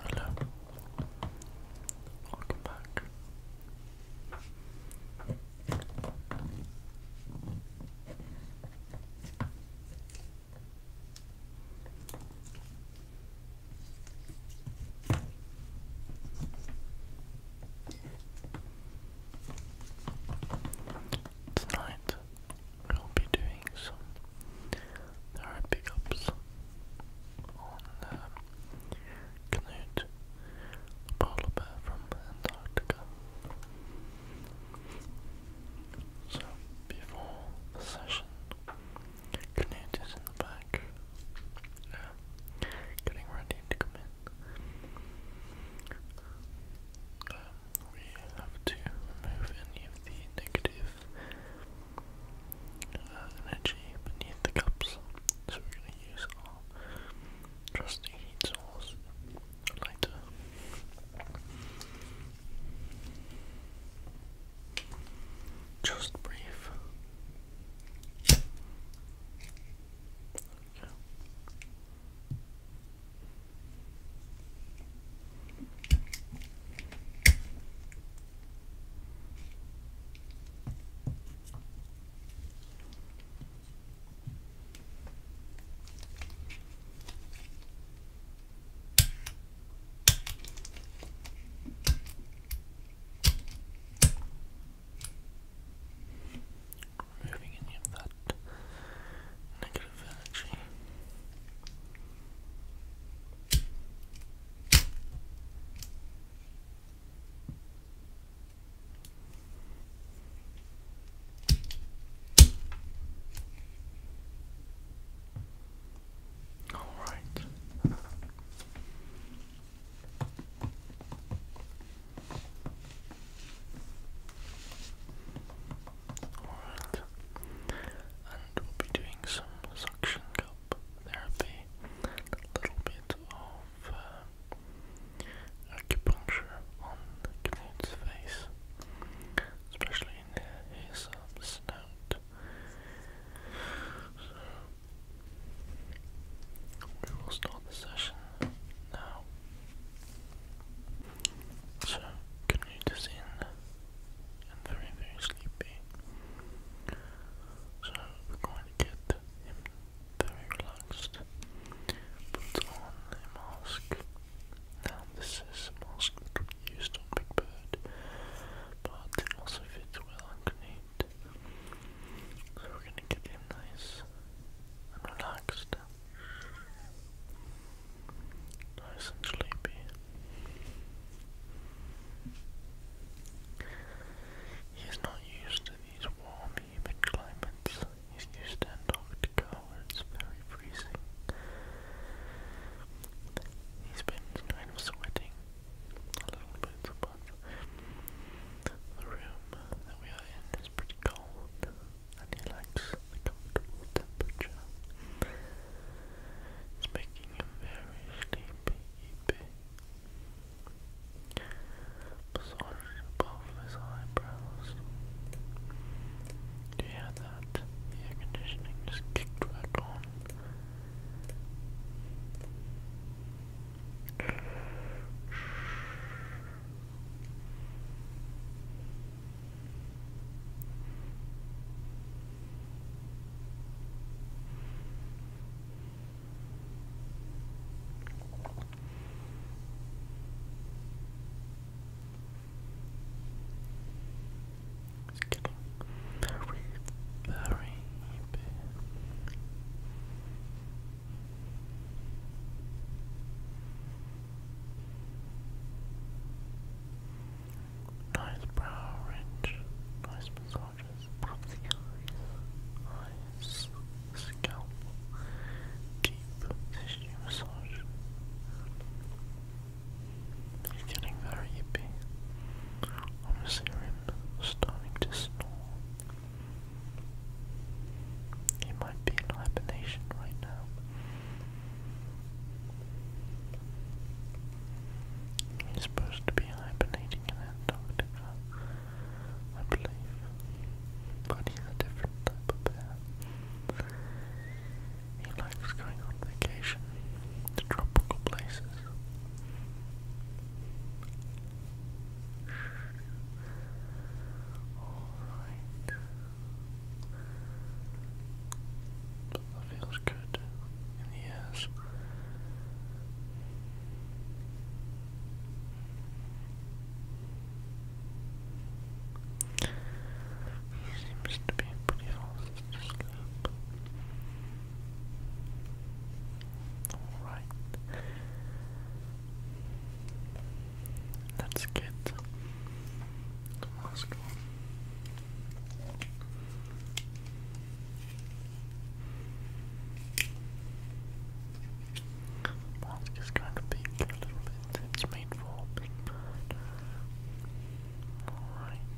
Hello. Welcome back. Tonight I'll be doing some narrow pickups on um, polar bear from Antarctica. So, before the session, Knut is in the back, getting ready to come in. Um, we have to remove any of the negative uh, energy beneath the cups. So we're going to use our trusty heat source later. Just brief. There we go. Removing any of that that negative energy. All right. Alright. And we'll be doing some suction cup therapy, a little bit of uh, acupuncture on Knut's face, especially in his um, snout. So, we will start the session now. So, continue to see and very, very sleepy. So, we're going to get him very relaxed. Put on a mask. Now, this is a mask used on Big Bird, but it also fits well underneath. So, we're going to get him nice and relaxed. Nice and sleepy. He's not used to these warm, humid climates. He's used to Antarctica where it's very freezing. He's been kind of sweating a little bit, but the room that we are in is pretty cold and he likes the comfortable temperature. It's making him very sleepy. Massage above his eyebrows. Do you that? The air conditioning just kicked back on. It's getting very, very Nice brow ridge, nice massages, eyes, scalp, deep tissue massage. getting very yippy. I'm going to starting to snore. He might be in hibernation right now. He's supposed to be hibernating in Antarctica, I believe. But he's a different type of bear. He likes going on vacation to tropical places. Alright. That feels good in the ears. He seems to be pretty fast asleep. Alright. Let's get Moscow. is kind of big a little bit. It's for big Alright.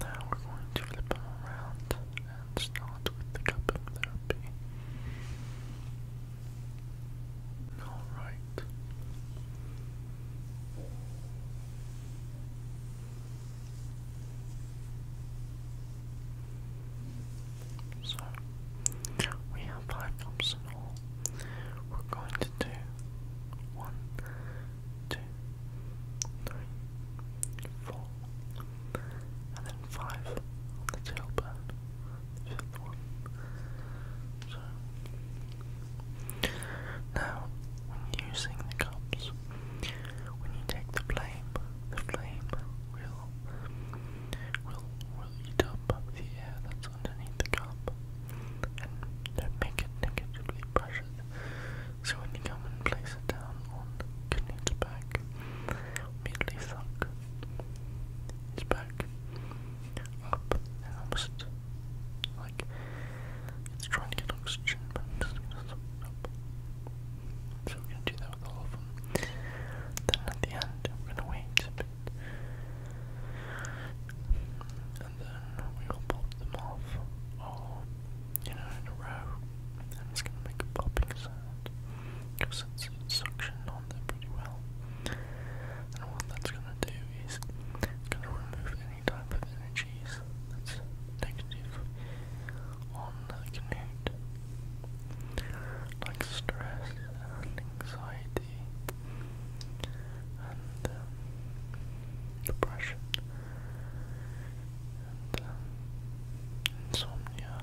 Now we're going to flip them around and start with the cupping therapy. All right. So we have five cups in all. We're going to do one, two, three, four, and then five on the tailbone. So now when using the cups, when you take the flame, the flame will will will eat up the air that's underneath the cup and don't it negatively pressured. So when you come and place it down on the Knut's back, immediately suck his back up almost like it's trying to get oxygen, So we're gonna do that with all of them. Then at the end, we're gonna wait And then we will pop them off, all, oh, you know, in a row. And it's gonna make a popping sound because it's suction on there pretty well. And what that's gonna do is it's gonna remove any type of energies that's negative on the Canute. Like stress and anxiety and um, depression and um, insomnia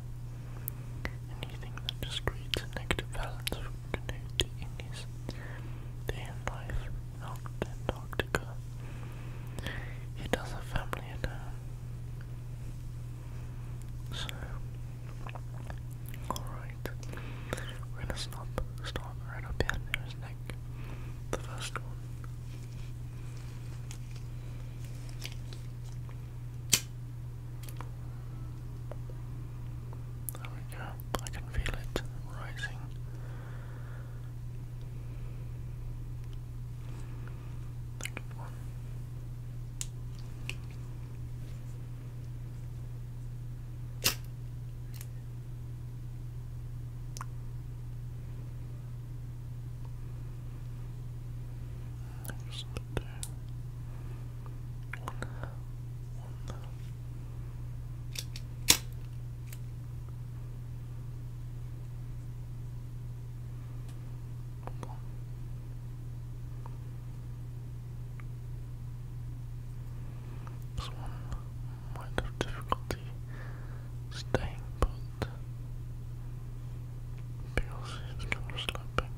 Anything that just creates a negative balance for Canute in his day and life in Antarctica. He does have family at home. So, alright, we're gonna stop, start right up here near his neck, the first one. There we go. I can feel it rising. Good but uh, This one might have difficulty staying put because it's not slipping.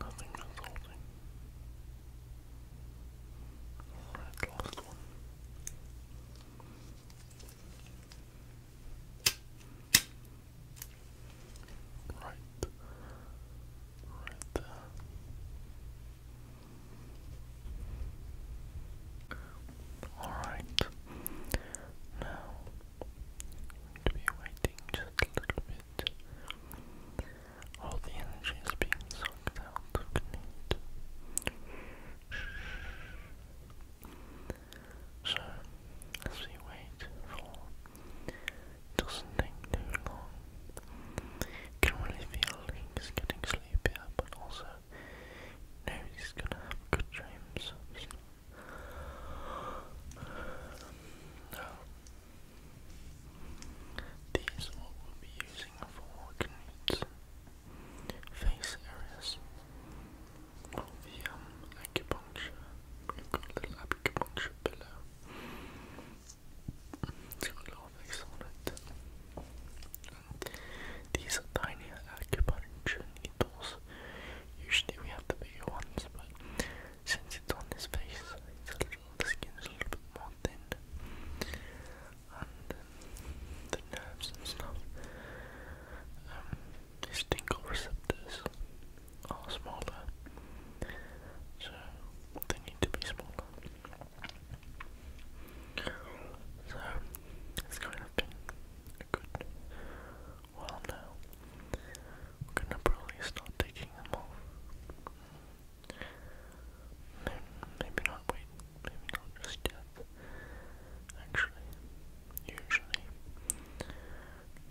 Nothing resulting. Alright, last one right, right there. Alright, now to be waiting just a little bit. All the energy is being sucked out of me. So, as we wait for doesn't take too long. can really feel he's getting sleepier, but also know he's gonna have good dreams. Now, these are will be using for Knut's face areas all the acupuncture. We've got a acupuncture pillow. It's got little things on it. these are tiny acupuncture needles. Usually we have the bigger ones, but since it's on his face, it's a little, the skin is a little bit more thin. And the nerves and stuff. Um, his receptors are oh, smaller, so they need to be smaller. So it's kind of a good while now. I'm gonna probably start taking them off. Maybe not wait, maybe not just yet. Actually, usually.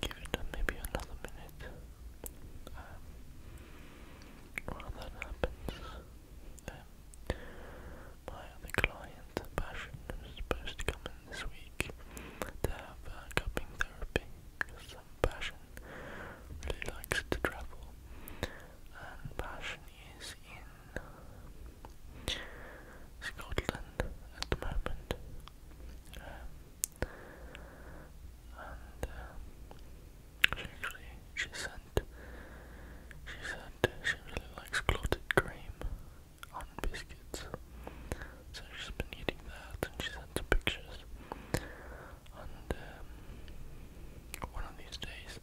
Give it maybe another minute. while um, that happens, um, my other client, Passion, is supposed to come in this week to have uh, cupping therapy because um, Passion really likes to travel, and Passion is in Scotland at the moment uh, she actually she sent she said she really likes clotted cream on biscuits. So she's been eating that and she sent some pictures. And um, one of these days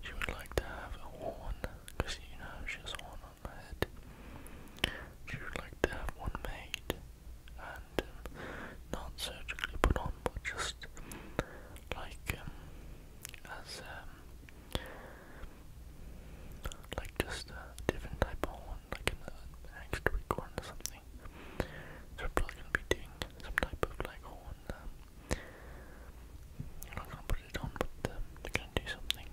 she would like to have a horn because you know she has a on you like to have one made and um, not surgically put on, but just like um, as um, like just a different type of one, like an, uh, extra big or something. So i probably gonna be doing some type of like horn. Um, i not gonna put it on, but the do something.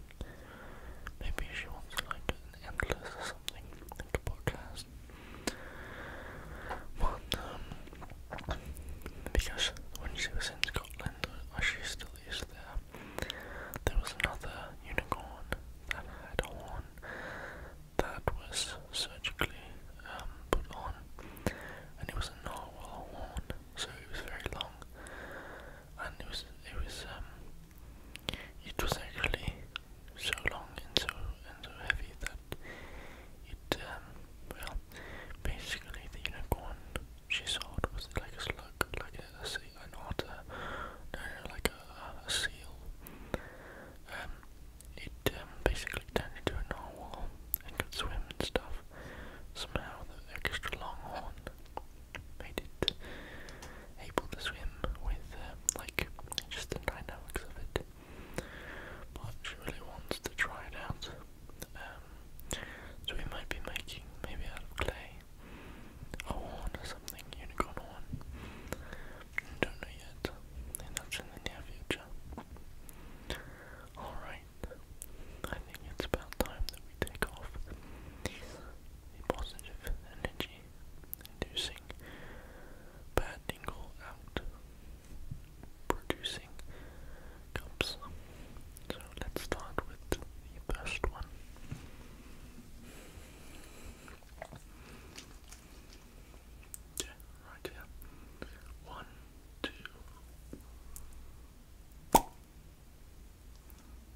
Maybe she wants like an endless or something, like podcast. But um, because when she was in Scotland, or she still is there, there was another unicorn that had a horn that was surgically um, put on, and it was a narwhal horn, so it was very long and it was it was um, it was actually so long and so and so heavy that it um, well basically the unicorn she sold was like a slug like a, a sea an otter no, like a, seal um it um, basically turned into a narwhal and could swim and stuff somehow the extra long horn made it able to swim with uh, like just the dynamics of it. But she really wants to try it out. Um, so we might be making maybe out of clay a horn or something, unicorn horn. Don't know yet. that's in the near future. Alright. I think it's about time that we take off positive energy inducing bad out producing cups. So let's start with the first one. Yeah, right here. One, two.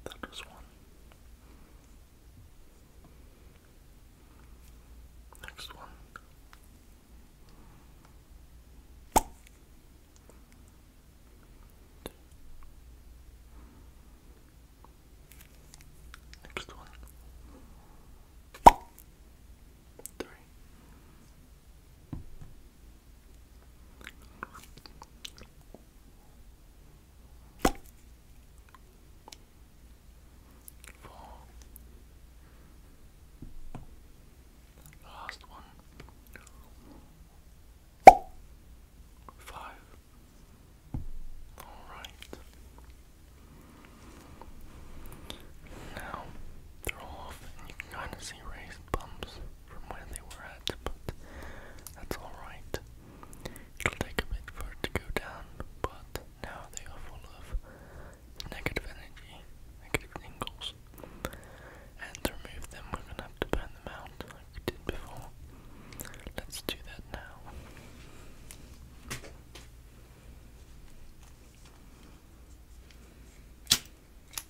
That was one. Next one. Two. Next one. Three. Four. Last one. Five. All right. Now they off, and you kind of see raised bumps from where they were at, but that's alright. It'll take a bit for it to go down, but now they are full of negative energy, negative tingles. And to remove them, we're gonna have to burn them out like we did before. Let's do that now.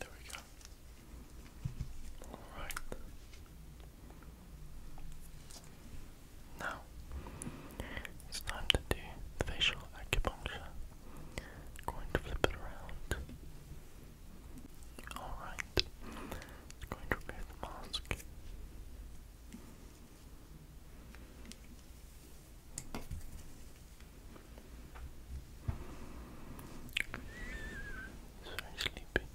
There we go. Alright. Now, it's time to do the facial acupuncture. going to flip it around. Alright. i going to remove the mask. He's very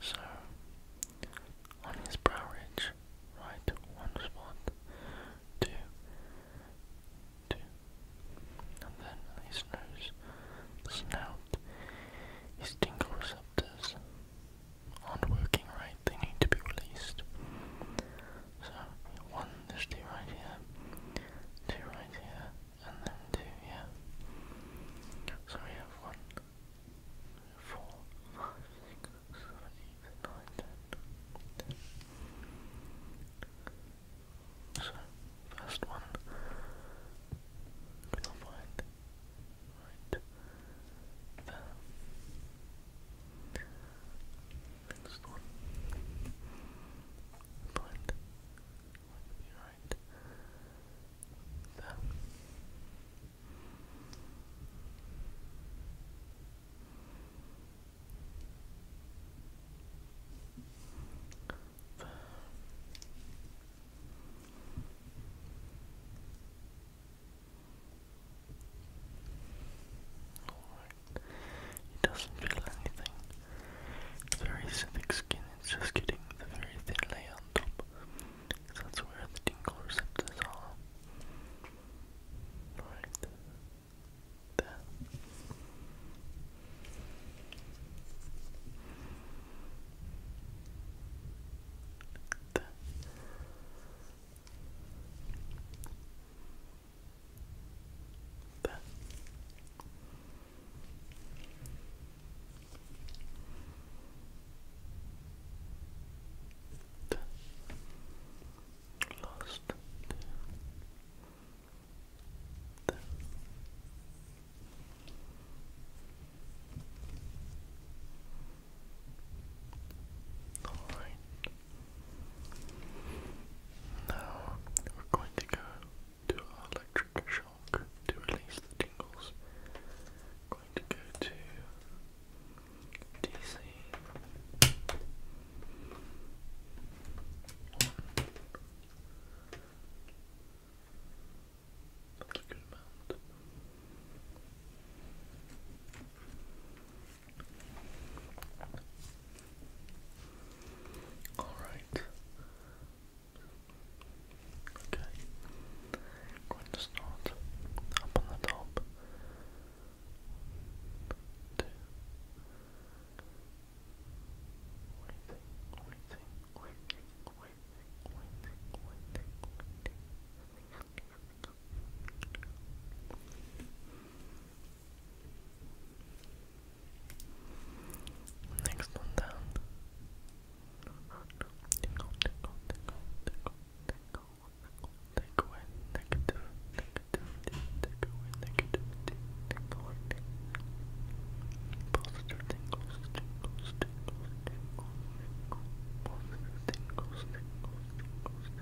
So, on his brow ridge, right one spot, two, two, and then his nose, snout, his tingle receptors aren't working right, they need to be released. So one, there's two right here, two right here, and then two here. So we have one, four, five, six, seven, eight, nine, ten, ten. So first one, we will right there next one. right There. It doesn't feel anything. It's very thick skin, it's just getting the very thin layer on top. Because that's where the tingle receptors are. Right. There. there. Lost the, the. All right. Now we're going to go to our electric shock to release the tingles. going to go to DC that's a good amount. All right. Okay. I'm going to start up on the top. Two. Waiting, waiting, waiting, waiting, waiting, waiting, waiting. Next one down. Tickle, tickle, tickle, tickle, tickle, tickle. Take away negative, negativity, take away negativity, take away Positive tingles, tingles, tingles, tingles, tingles. Positive tingles, tingles, tingles,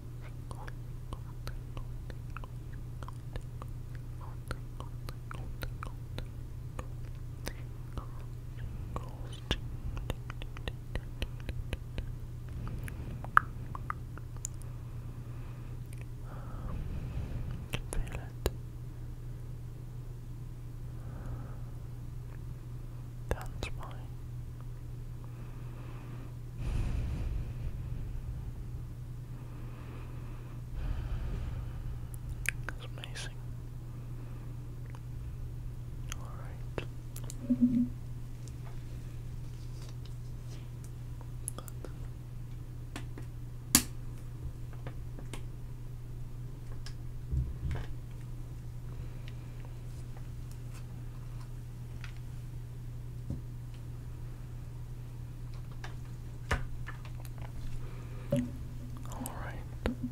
can feel it down the it's amazing. All right. All right. I can remove them.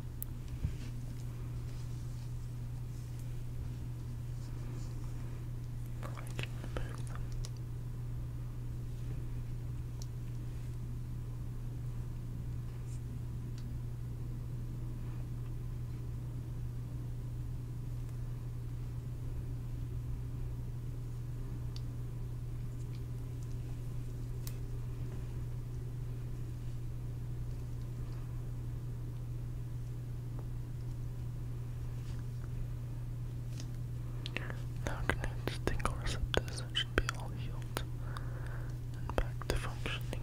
Now connect tingle receptors and should be all healed and back to functioning.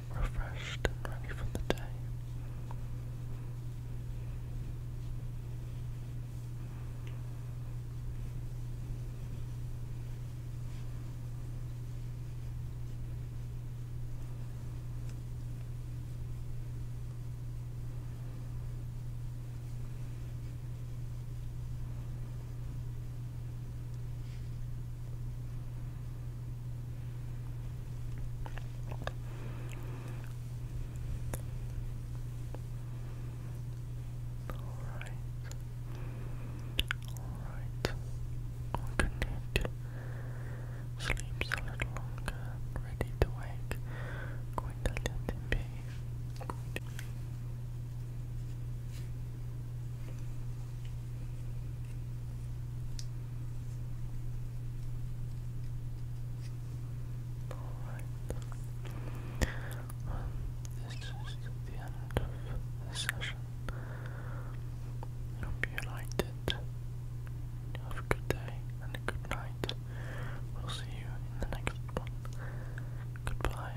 refreshed and ready for the day. Alright. Alright. i sleeps a little longer. Ready to wake. Going to let him be. Alright. this is the end of the session. hope you liked it. Have a good day and a good night. We'll see you in the next one. Goodbye.